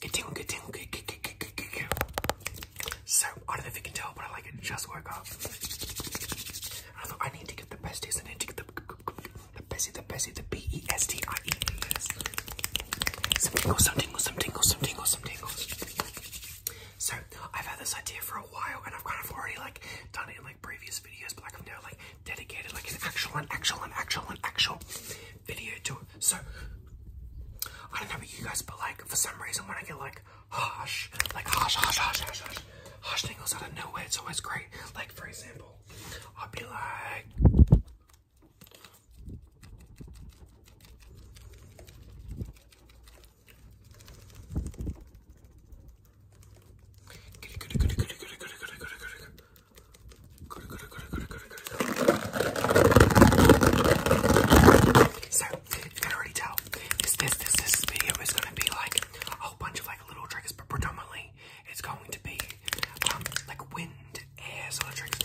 Good tingle, good tingle, good, good, good, good, good, good. So, I don't know if you can tell, but I like it just woke up. I don't know, I need to get the besties, I need to get the the bestie, the bestie, the B-E-S-T-I-E. -E some tingles, some tingles, some tingles, some tingles, some tingles. So, I've had this idea for a while, and I've kind of already, like, done it in, like, previous videos, but, like, I've now like, dedicated like an actual, an actual, an actual, an actual video to it. So I don't know about you guys, but like for some reason when I get like harsh, like harsh, harsh, harsh, harsh, harsh, harsh tingles out of nowhere, it's always great. Like for example, I'll be like. So, you can already tell, this this this this video is gonna be like a whole bunch of like little tricks, but predominantly it's going to be um like wind, air sort of tricks.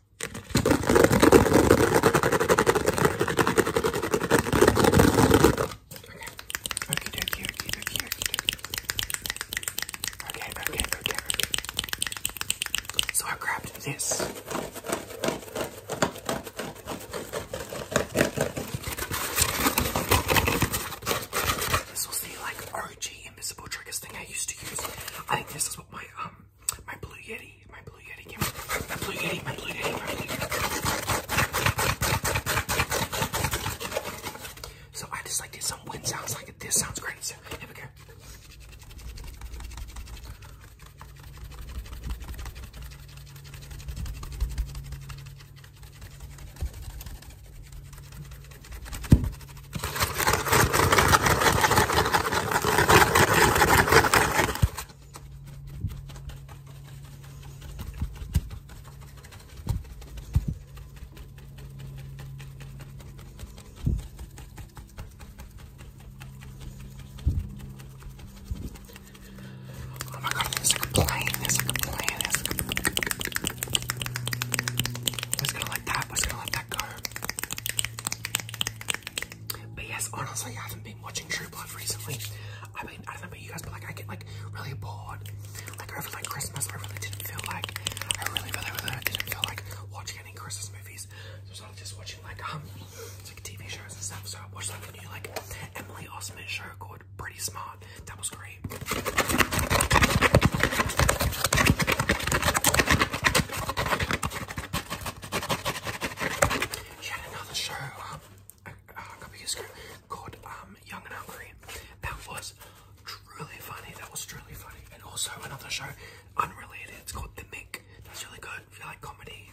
Okay, okay, okay, okay, okay, okay, okay, So I grabbed this. This was the like OG invisible trigger thing I used to use. I think this is what my um my Blue Yeti, my Blue Yeti my Blue Yeti, my Blue Yeti, So I just like this. some wind sounds like it. This sounds great. So here we go. Oh my god, it's like a plane, it's like a plane, it's like a plane. It's gonna like that, it's gonna like but yes, honestly, I haven't been watching True Blood recently. I mean, I don't know about you guys, but like, I get like really bored. Like over like Christmas, I really didn't feel like, I really, really, really didn't feel like watching any Christmas movies. So I was just watching like um, like TV shows and stuff. So I watched like a new like Emily Osment show called Pretty Smart. That was great. She had another show um, a, couple years ago called um, Young and Hungry. That was truly funny. That was truly funny. And also another show, unrelated. It's called The Mick. That's really good if you like comedy.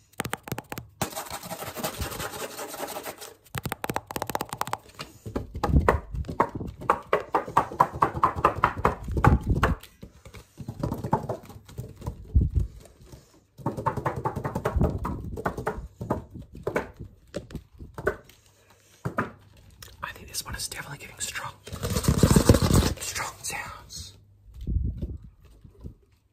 I think this one is definitely giving strong, strong sounds.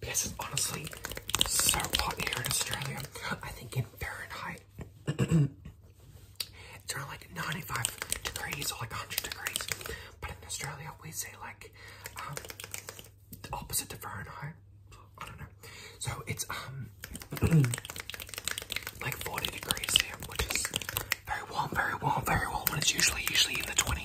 Because it's honestly so hot here in Australia. I think in Fahrenheit, it's around like 95 degrees or like 100 degrees. But in Australia, we say like um, the opposite to Fahrenheit. I don't know. So it's um like 40 degrees here, which is very warm, very warm, very warm. When it's usually usually in the 20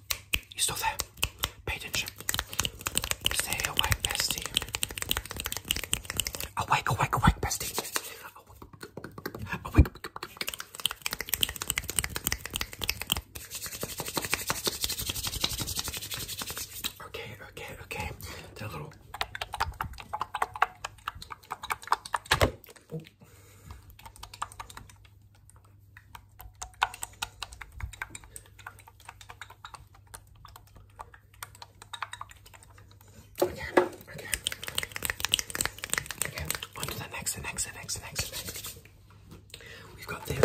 You are still there? Pay attention. Stay awake, bestie. Awake, awake, awake, bestie. Awake. Okay, okay, okay. That little. Okay, okay. Okay, on to the next, the next, the next, the next, the next. We've got this.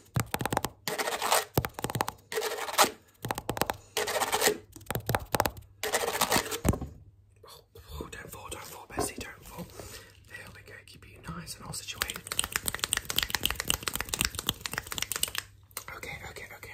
Oh, don't fall, don't fall, Bessie, don't fall. There we go, keep you nice and all situated. Okay, okay, okay.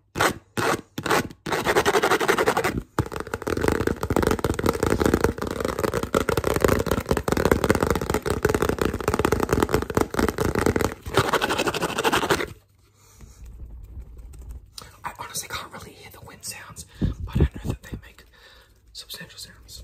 I honestly can't really hear the wind sounds, but I know that they make substantial sounds.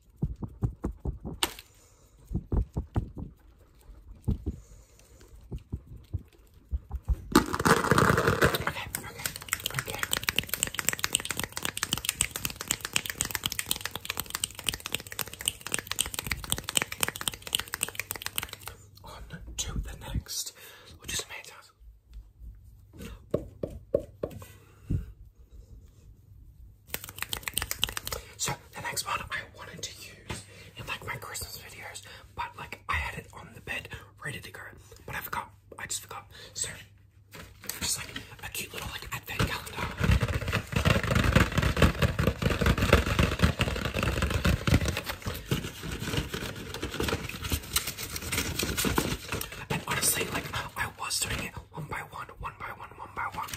okay, okay. On to the next. We'll do some hand taps. So the next one I wanted to use in like my Christmas videos, but like I had it on the bed ready to go, but I forgot. I just forgot. Sorry. just like a cute little like advent calendar. And honestly, like I was doing it one by one, one by one one, by one.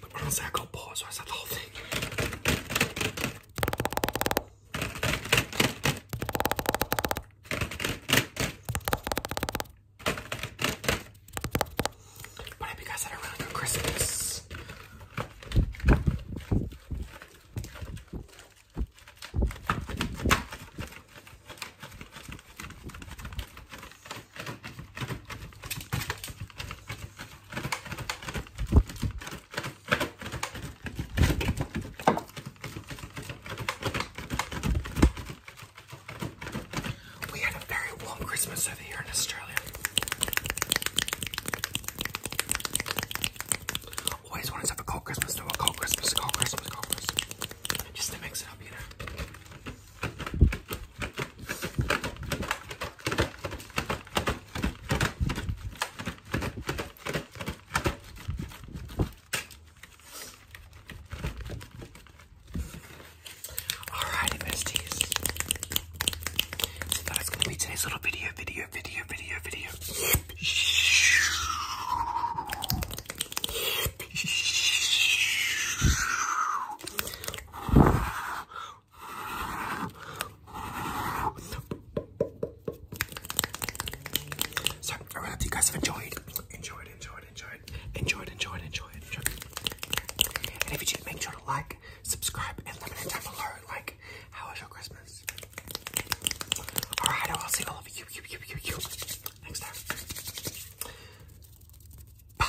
But honestly, I got bored, so I said the whole thing. I hope you guys had a really good Christmas. We had a very warm Christmas over here in Australia. Always wanted to have a cold Christmas, no, a cold Christmas, a cold Christmas, cold Christmas. Just to mix it up, you know. Alrighty, besties. So that's gonna be today's little video, video, video, video, video. So I hope you guys have enjoyed, enjoyed, enjoyed enjoyed, enjoyed, enjoyed, enjoyed, enjoyed, enjoyed. And if you did, make sure to like, subscribe, and let me know down below, like, how was your Christmas? Alright, I'll see all of you, you, you, you, you, next time. Bye!